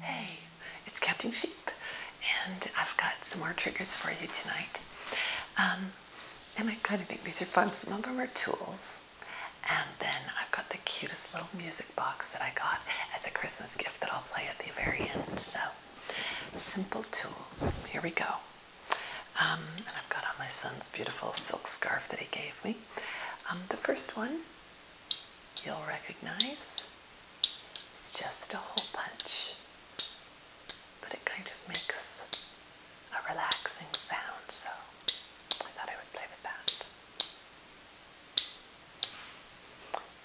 Hey, it's Captain Sheep, and I've got some more triggers for you tonight. Um, and I kind of think these are fun. Some of them are tools. And then I've got the cutest little music box that I got as a Christmas gift that I'll play at the very end. So, simple tools. Here we go. Um, and I've got on my son's beautiful silk scarf that he gave me. Um, the first one you'll recognize. It's just a hole punch, but it kind of makes a relaxing sound, so I thought I would play with that.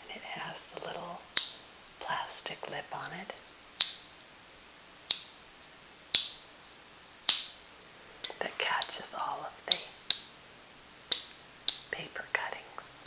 And it has the little plastic lip on it that catches all of the paper cuttings.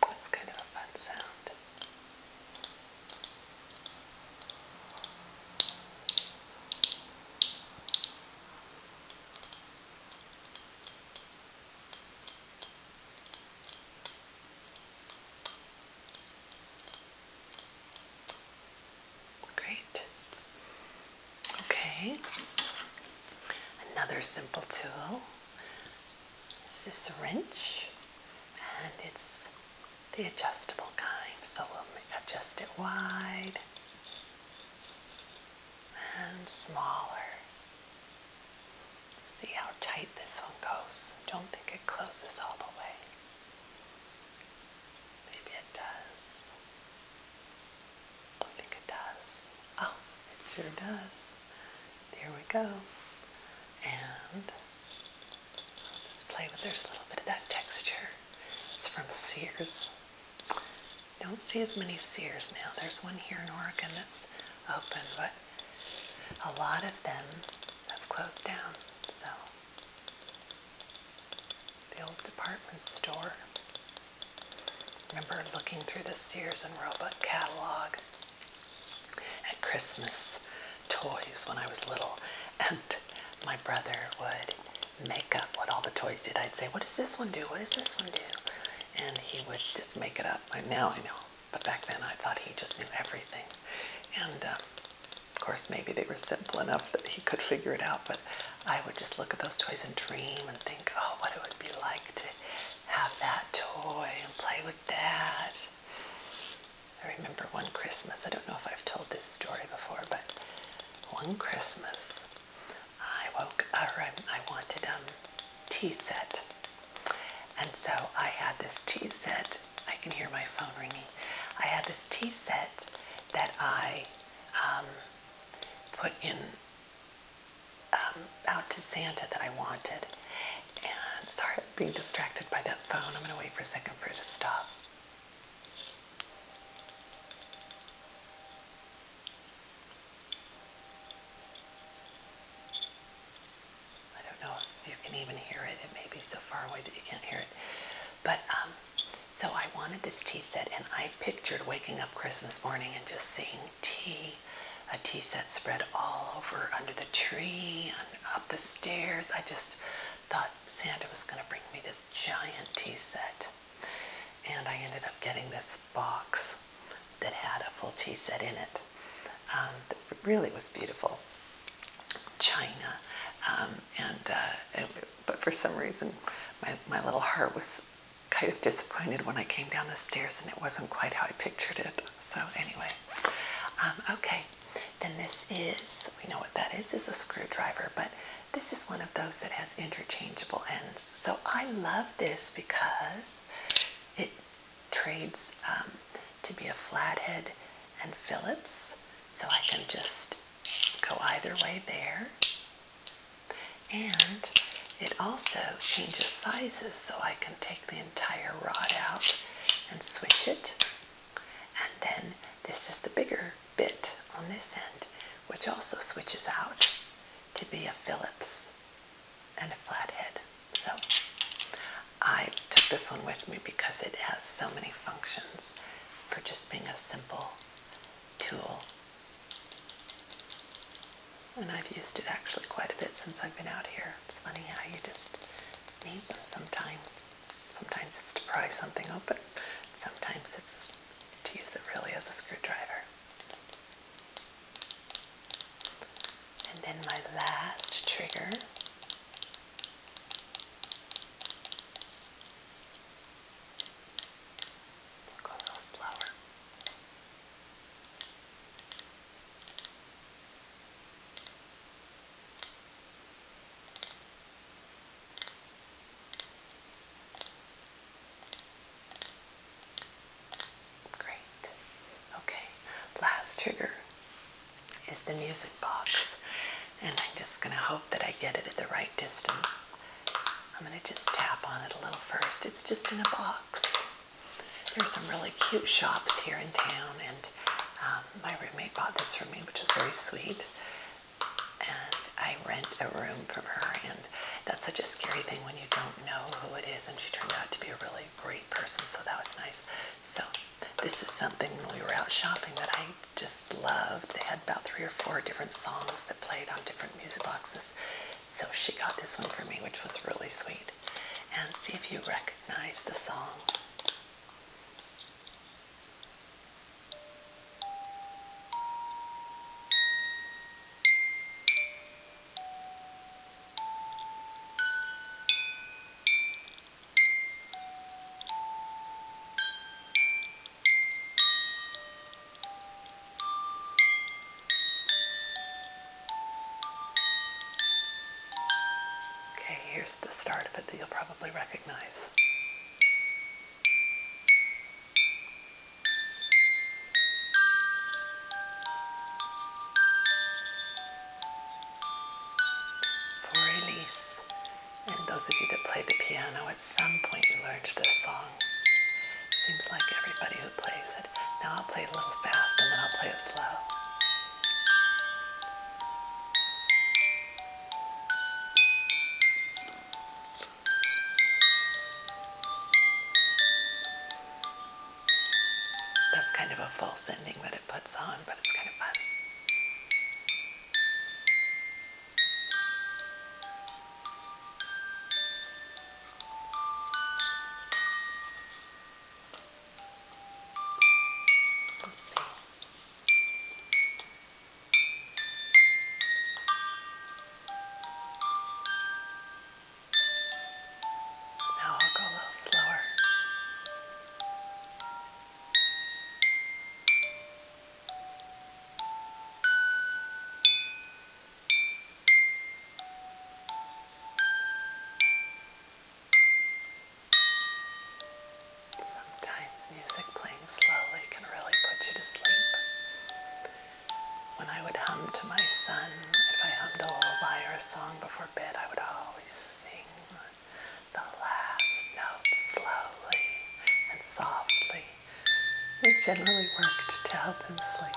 That's kind of a fun sound. Great. Okay. Another simple tool is this wrench, and it's the adjustable kind. So we'll adjust it wide and smaller. See how tight this one goes. Don't think it closes all the way. Maybe it does. I think it does. Oh, it sure does. There we go. And I'll just play with there's a little bit of that texture. It's from Sears. Don't see as many Sears now. There's one here in Oregon that's open, but a lot of them have closed down. So the old department store. Remember looking through the Sears and Roebuck catalog at Christmas toys when I was little, and my brother would make up what all the toys did. I'd say, "What does this one do? What does this one do?" And he would just make it up. Now I know, but back then I thought he just knew everything. And um, of course, maybe they were simple enough that he could figure it out, but I would just look at those toys and dream and think, oh, what it would be like to have that toy and play with that. I remember one Christmas, I don't know if I've told this story before, but one Christmas I woke, up I, I wanted a um, tea set. And so I had this tea set I can hear my phone ringing. I had this tea set that I um, put in um, out to Santa that I wanted. And sorry, I'm being distracted by that phone. I'm going to wait for a second for it to stop. I don't know if you can even hear it. It may be so far away that you can't hear it. But um, so I wanted this tea set, and I pictured waking up Christmas morning and just seeing tea, a tea set spread all over under the tree, and up the stairs. I just thought Santa was going to bring me this giant tea set. And I ended up getting this box that had a full tea set in it. Um, really was beautiful. China, um, uh, and, but for some reason, my my little heart was kind of disappointed when I came down the stairs, and it wasn't quite how I pictured it. So anyway, um, okay. Then this is we know what that is is a screwdriver, but this is one of those that has interchangeable ends. So I love this because it trades um, to be a flathead and Phillips. So I can just go either way there. And it also changes sizes so I can take the entire rod out and switch it. And then this is the bigger bit on this end, which also switches out to be a Phillips and a flat head, So I took this one with me because it has so many functions for just being a simple tool. And I've used it actually quite a bit since I've been out here. It's funny how you just need them sometimes. Sometimes it's to pry something open. Sometimes it's to use it really as a screwdriver. And then my last trigger go a little slower. Great. Okay, last trigger is the music box. And I'm just going to hope that I get it at the right distance. I'm going to just tap on it a little first. It's just in a box. There are some really cute shops here in town, and um, my roommate bought this for me, which is very sweet. And I rent a room from her, and that's such a scary thing when you don't know who it is. And she turned out to be a really great person, so that was nice. So this is something when we were out shopping that I just loved. They had about three or four different songs that played on different music boxes. So she got this one for me, which was really sweet. And see if you recognize the song. Okay, here's the start of it that you'll probably recognize. For release, and those of you that play the piano, at some point you learned this song. Seems like everybody who plays it. Now I'll play it a little fast and then I'll play it slow. That's kind of a false ending that it puts on, but it's kind of fun. Let's see. Now I'll go a little slower. Sometimes music playing slowly can really put you to sleep. When I would hum to my son, if I hummed a lullaby or a song before bed, I would always sing the last note slowly and softly. It generally worked to help him sleep.